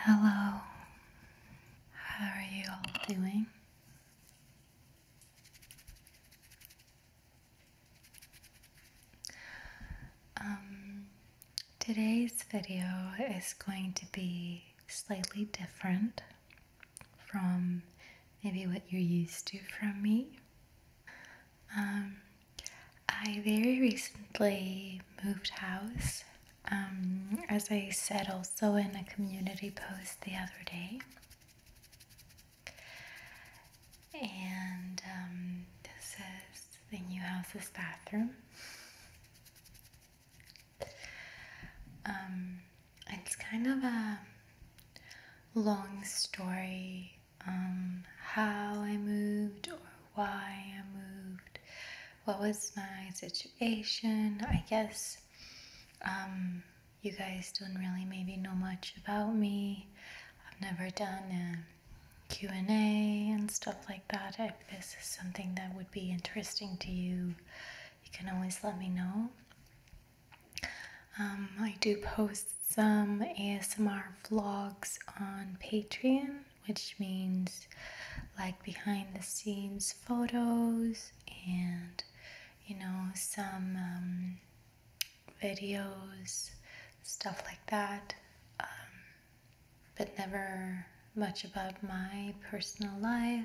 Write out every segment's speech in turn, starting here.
Hello, how are you all doing? Um, today's video is going to be slightly different from maybe what you're used to from me. Um, I very recently moved house, um, as I said also in a community post the other day. And um, this is the new house's bathroom it's kind of a long story um, how I moved or why I moved, what was my situation. I guess um, you guys don't really maybe know much about me. I've never done a Q&A and stuff like that. If this is something that would be interesting to you, you can always let me know. Um, I do post some ASMR vlogs on Patreon, which means like behind the scenes photos and you know some um, videos, stuff like that, um, but never much about my personal life.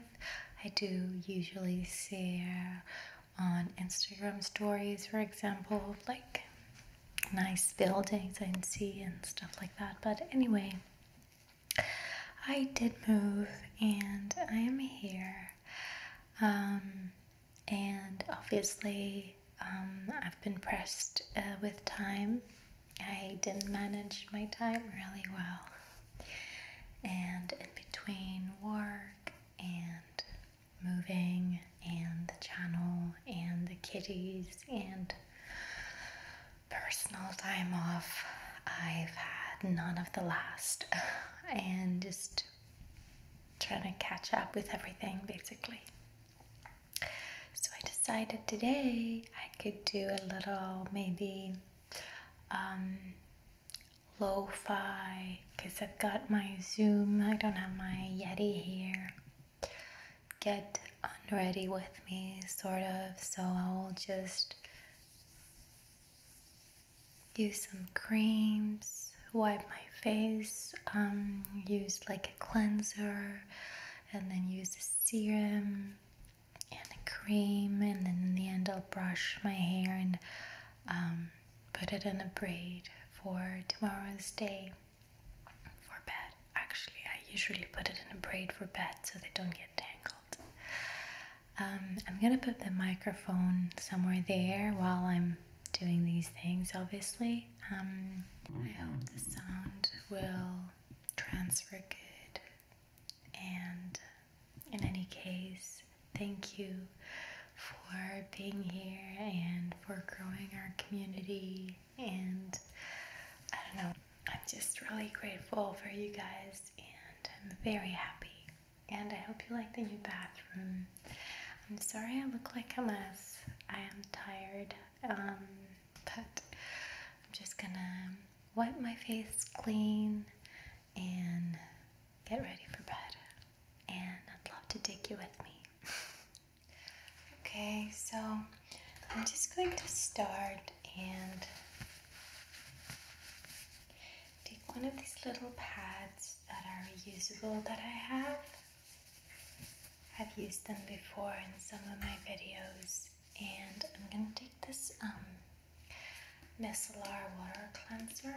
I do usually share on Instagram stories, for example, like nice buildings I can see and stuff like that. But anyway, I did move and I am here. Um, and obviously, um, I've been pressed uh, with time. I didn't manage my time really well. And in between work and moving and the channel and the kitties and personal time off. I've had none of the last and just trying to catch up with everything basically. So I decided today I could do a little maybe um, lo fi because I've got my Zoom, I don't have my Yeti here. Get unready with me, sort of, so I'll just use some creams, wipe my face, um, use like a cleanser, and then use a serum and a cream, and then in the end I'll brush my hair and um, put it in a braid for tomorrow's day for bed. Actually, I usually put it in a braid for bed so they don't get tangled. Um, I'm gonna put the microphone somewhere there while I'm doing these things, obviously. Um, I hope the sound will transfer good and in any case, thank you for being here and for growing our community. And I don't know, I'm just really grateful for you guys, and I'm very happy. And I hope you like the new bathroom. I'm sorry I look like a mess. I am tired, um, but I'm just gonna wipe my face clean and get ready for bed and I'd love to take you with me. okay, so I'm just going to start and take one of these little pads that are reusable that I have. I've used them before in some of my videos, and I'm gonna take this um, Micellar Water Cleanser.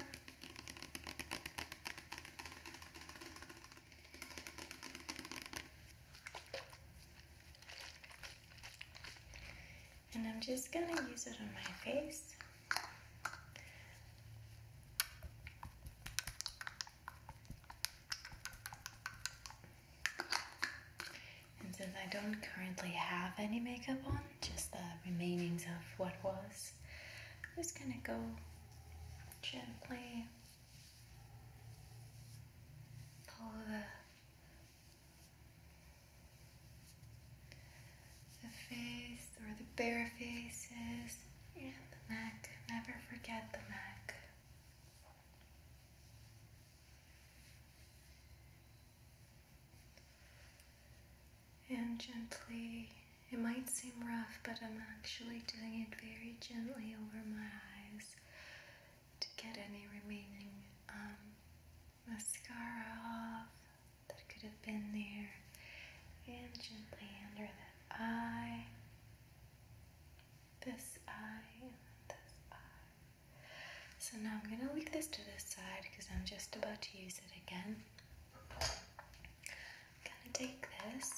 And I'm just going to use it on my face. And since I don't currently have any makeup on, just the remainings of what was, I'm just going to go gently pull the, the face or the bare faces and the neck. Never forget the neck. And gently, it might seem rough, but I'm actually doing it very gently over my eyes to get any remaining um, mascara off that could have been there. And gently under that eye, this eye, this eye. So now I'm going to leave this to the side because I'm just about to use it again gonna take this.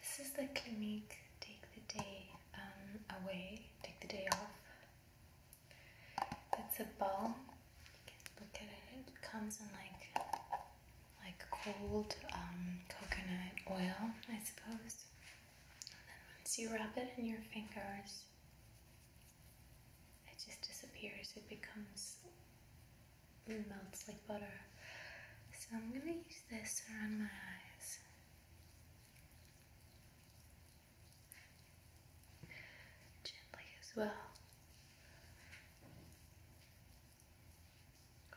This is the Clinique Take the Day um, Away, Take the Day Off. It's a balm. You can look at it. It comes in like like cold um, coconut oil, I suppose. And then once you rub it in your fingers, it just disappears. It becomes, melts like butter. So I'm going to use this around my eyes. Gently as well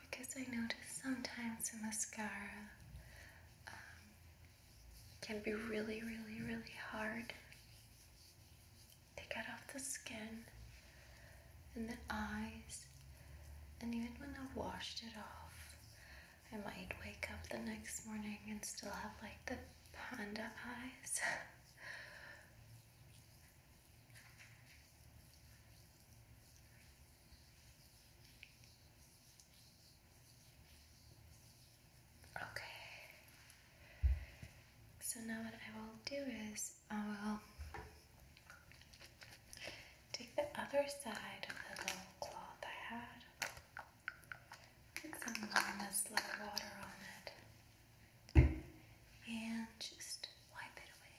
because I notice sometimes the mascara um, can be really, really, really hard to get off the skin and the eyes, and even when I washed it off, I might wake up the next morning and still have like the panda eyes. Okay. So now what I will do is I will take the other side of the little cloth I had, put some lemons, little water on it, and just wipe it away.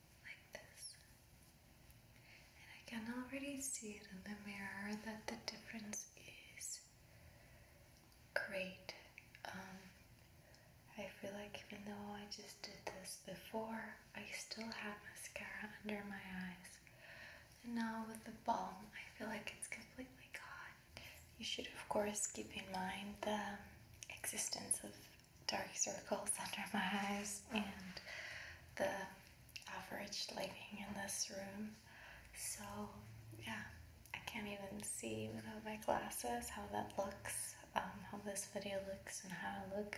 like this. And I can already see it in the mirror that the difference is great. Um, I feel like even though I just did this before, I still had mascara under my eyes. And now with the balm, I feel like it's completely gone. You should, of course, keep in mind the existence of dark circles under my eyes and the average lighting in this room. So, yeah, I can't even see without my glasses how that looks, um, how this video looks, and how I look.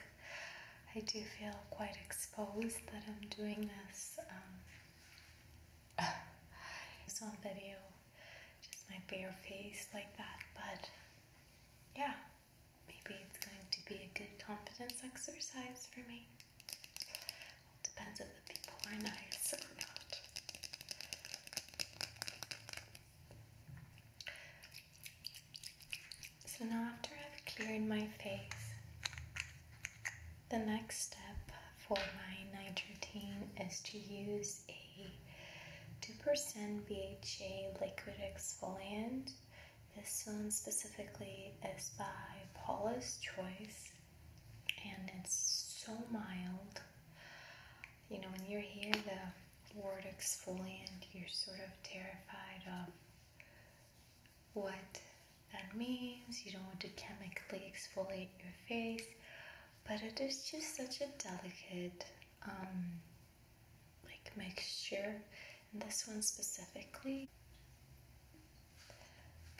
I do feel quite exposed that I'm doing this. Um, it's on video, just my bare face like that, but yeah. Maybe it's going to be a good confidence exercise for me. depends if the people are nice or not. So now, after I've cleared my face, the next step for my night routine is to use a 2% BHA liquid exfoliant this one specifically is by Paula's Choice and it's so mild. You know, when you hear the word exfoliant, you're sort of terrified of what that means. You don't want to chemically exfoliate your face, but it is just such a delicate um, like mixture, and this one specifically.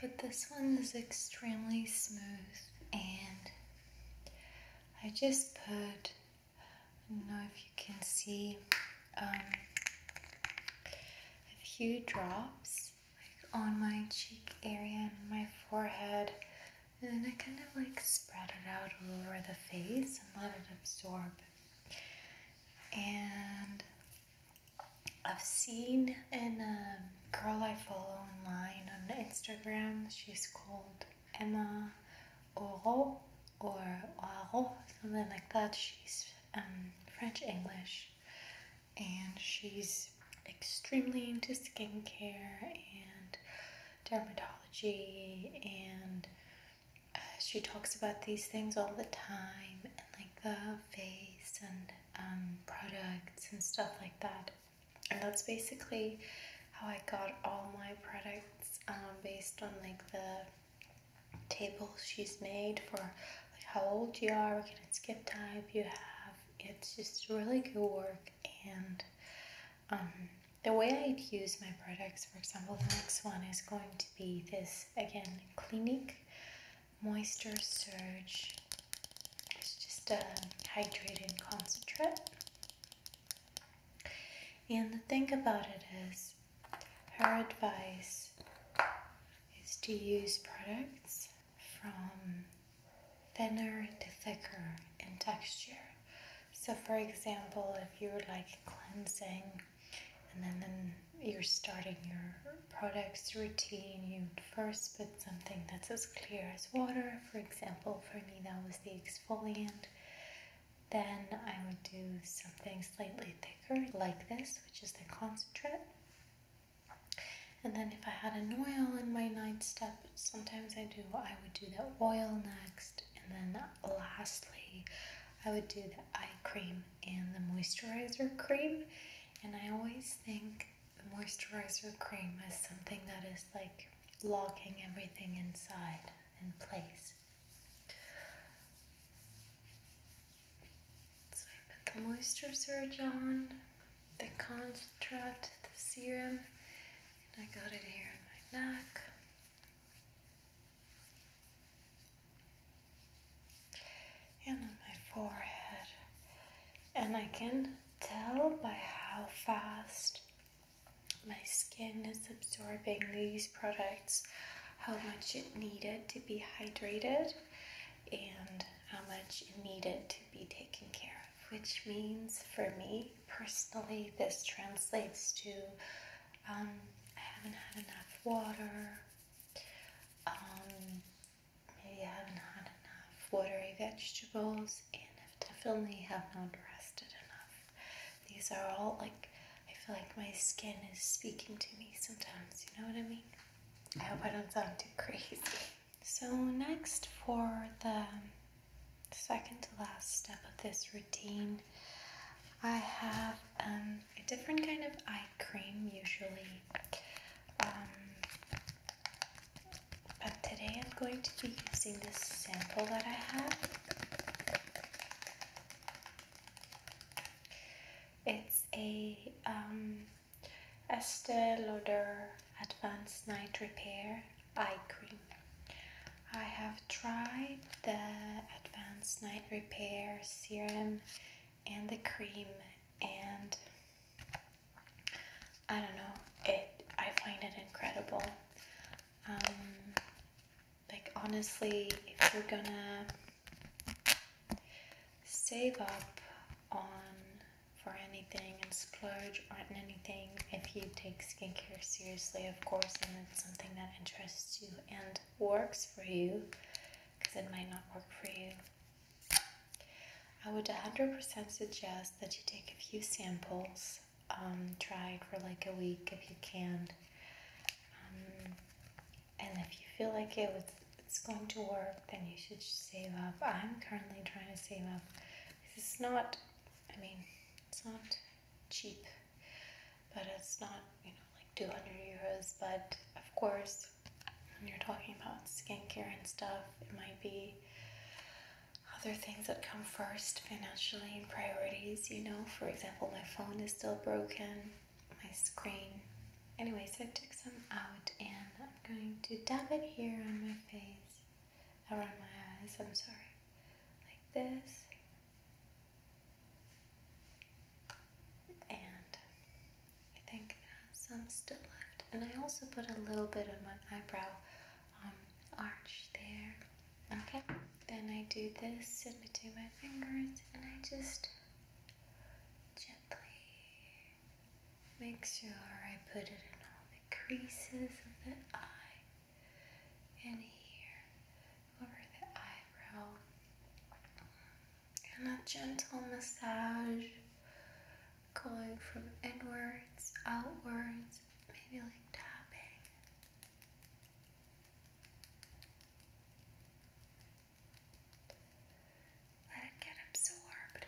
But this one is extremely smooth, and I just put, I don't know if you can see, um, a few drops like on my cheek area and my forehead. And then I kind of like spread it out all over the face and let it absorb and I've seen a um, girl I follow online on Instagram, she's called Emma Oro or Oaro, something like that. She's um, French English and she's extremely into skincare and dermatology and uh, she talks about these things all the time, and like the face and um, products and stuff like that. And that's basically how I got all my products um, based on like the table she's made for like how old you are, what kind of skip type you have. It's just really good work and um, the way I'd use my products, for example, the next one is going to be this again Clinique Moisture Surge. It's just a hydrating concentrate. And the thing about it is, her advice is to use products from thinner to thicker in texture. So, for example, if you're like cleansing and then, then you're starting your products routine, you would first put something that's as clear as water. For example, for me, that was the exfoliant. Then I would do something slightly thicker, like this, which is the concentrate. And then if I had an oil in my ninth step, sometimes I do, I would do that oil next. And then lastly, I would do the eye cream and the moisturizer cream. And I always think the moisturizer cream is something that is like locking everything inside in place. So I put the moisturizer on, the construct, the serum, and I got it here on my neck and on my forehead. And I can tell by how fast my skin is absorbing these products, how much it needed to be hydrated, and how much it needed to be taken care of. Which means for me personally, this translates to um, I haven't had enough water, um, maybe I haven't had enough watery vegetables, and I definitely have not rested enough. These are all like, I feel like my skin is speaking to me sometimes, you know what I mean? I hope I don't sound too crazy. So, next for the second to last step of this routine, I have um, a different kind of eye cream usually, um, but today I'm going to be using this sample that I have. It's a um, Estee Lauder Advanced Night Repair Eye Cream. I have Try the Advanced Night Repair serum and the cream, and I don't know, it I find it incredible. Um, like honestly, if you're gonna save up on for anything and splurge on anything if you take skincare seriously, of course, and it's something that interests you and works for you because it might not work for you. I would 100% suggest that you take a few samples, um, try it for like a week if you can. Um, and if you feel like it it's going to work, then you should save up. I'm currently trying to save up. This is not, I mean, it's not cheap, but it's not, you know, like 200 euros. But of course, when you're talking about skincare and stuff, it might be other things that come first financially and priorities, you know. For example, my phone is still broken, my screen. Anyway, so I took some out and I'm going to dab it here on my face, around my eyes. I'm sorry, like this. And I think some still left. And I also put a little bit of my eyebrow um, arch there. Okay, then I do this in between my fingers and I just gently make sure I put it in all the creases of the eye and here over the eyebrow, and a gentle massage going from inwards, outwards, maybe like tapping. Let it get absorbed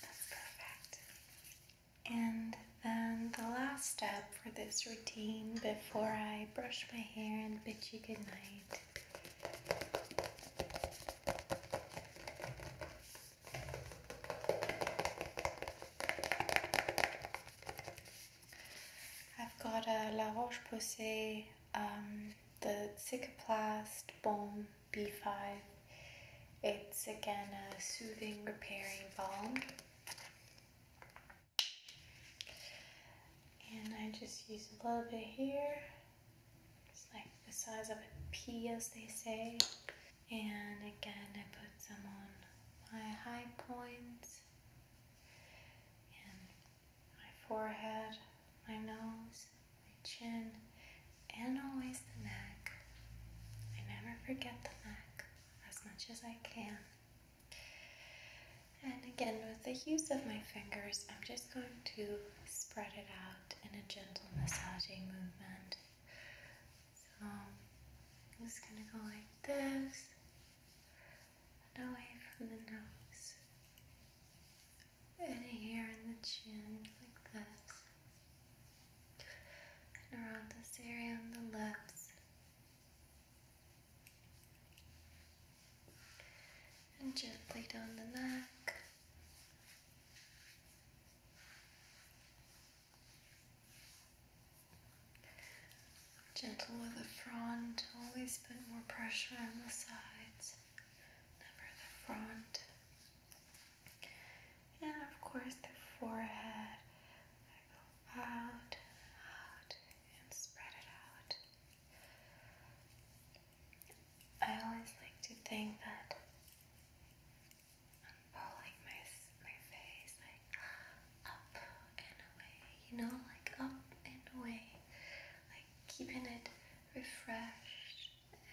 perfect. And then the last step for this routine before I brush my hair and bid you good I've got a La Roche-Posay, um, the Cicaplast balm B5. It's again a soothing, repairing balm. And I just use a little bit here. It's like the size of a pea, as they say. And again, I put some on my high points and my forehead, my nose my chin, and always the neck. I never forget the neck as much as I can. And again, with the use of my fingers, I'm just going to spread it out in a gentle massaging movement. So I'm just going to go like this and away from the nose, and here in the chin, like this, and around this area on the lips, and gently down the neck. Gentle with the front, always put more pressure on the sides never the front, and of course the forehead. I go out, out, and spread it out. I always like to think that I'm pulling my my face like up and away, you know, like up and away, like keeping it refreshed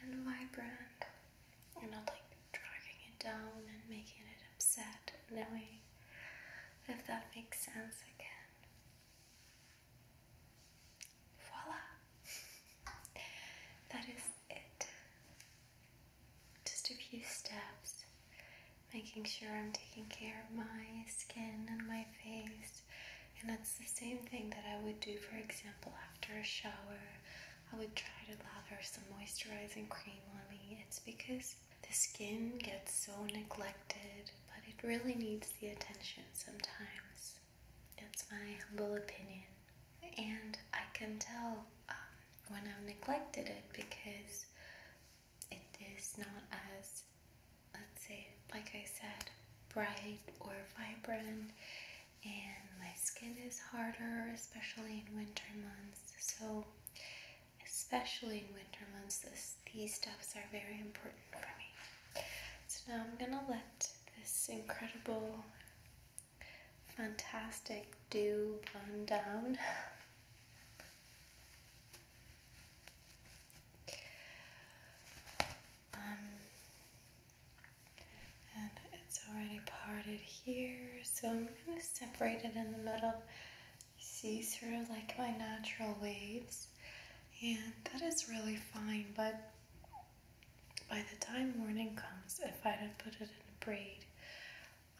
and vibrant. and not like dragging it down and making it upset Knowing If that makes sense again. Voila! that is it. Just a few steps, making sure I'm taking care of my skin and my face and that's the same thing that I would do, for example, after a shower. I would try to lather some moisturizing cream on me. It's because the skin gets so neglected, but it really needs the attention sometimes. That's my humble opinion. And I can tell um, when I've neglected it because it is not as, let's say, like I said, bright or vibrant, and my skin is harder, especially in winter months. So, especially in winter months, this, these stuffs are very important for me. So, now I'm gonna let this incredible, fantastic dew run down. Um, and it's already parted here, so I'm going to separate it in the middle. You see through like my natural waves, and that is really fine, but by the time morning comes, if I don't put it in a braid,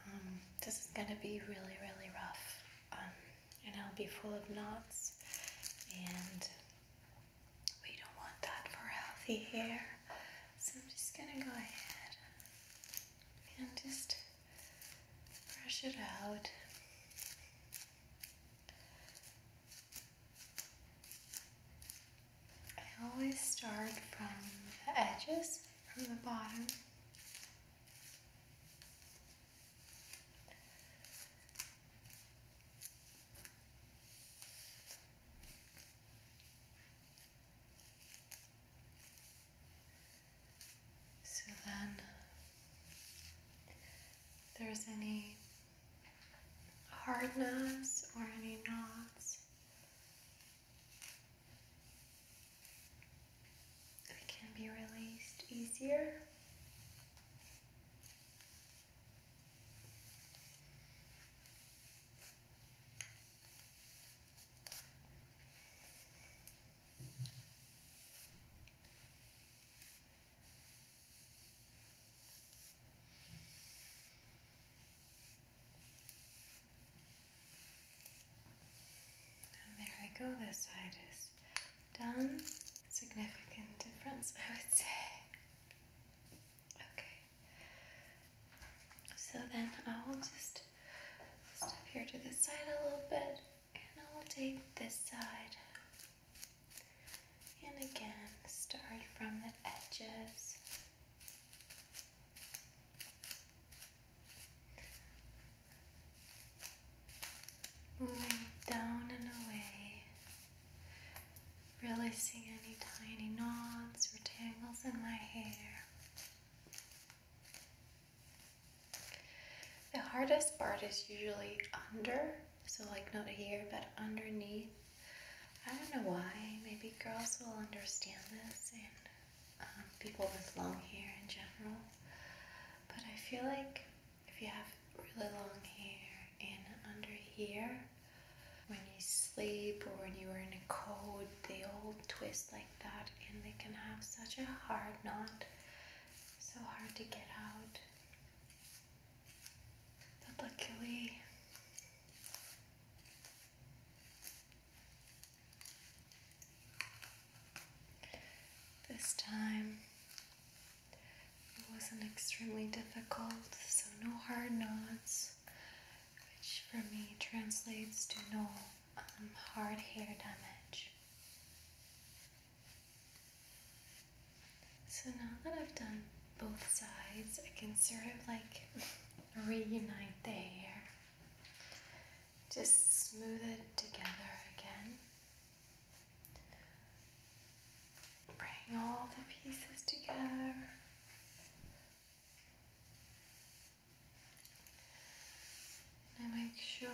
um, this is going to be really, really rough. Um, and I'll be full of knots, and we don't want that for healthy hair. So I'm just gonna go ahead and just brush it out. I always start from the edges, from the bottom. So then, there's any hardness or any knots, it can be released easier. And there we go, this side is done. Significant difference, I would say. Okay. So then I will just step here to the side a little bit and I will take this side. And again, start from the edges. Moving down and away Really, releasing any tiny knots or tangles in my hair. The hardest part is usually under, so like not here, but underneath. I don't know why, maybe girls will understand this and um, people with long hair in general, but I feel like if you have really long hair and under here, when you sleep or when you are in a cold, they all twist like that and they can have such a hard knot, so hard to get out. luckily, this time it wasn't extremely difficult, so no hard knots, which for me translates to no um, hard hair damage. So now that I've done both sides, I can sort of like reunite the hair. Just smooth it together again. Bring all the pieces together. And I make sure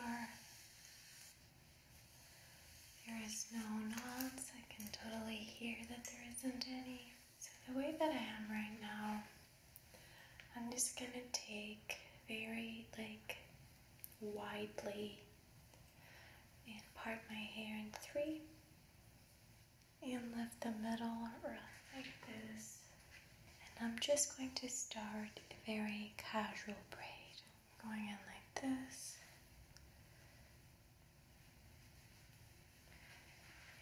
there is no knots. I can totally hear that there isn't any. So the way that I am right now, I'm just gonna take very like widely and part my hair in three and lift the middle rough like this and I'm just going to start a very casual braid going in like this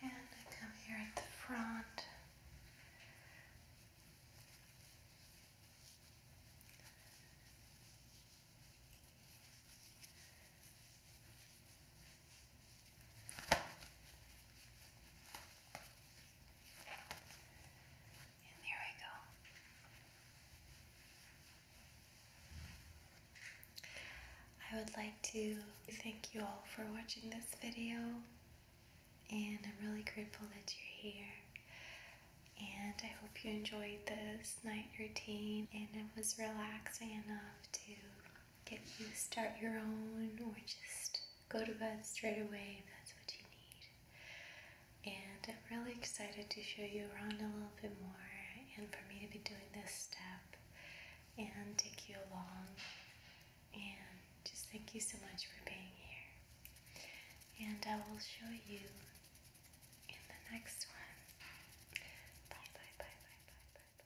and I come here at the front and there we go. I would like to thank you all for watching this video, and I'm really grateful that you're here and I hope you enjoyed this night routine and it was relaxing enough to get you start your own or just go to bed straight away if that's what you need. And I'm really excited to show you around a little bit more and for me to be doing this step and take you along. And just thank you so much for being here. And I will show you in the next one. Bye bye bye bye bye bye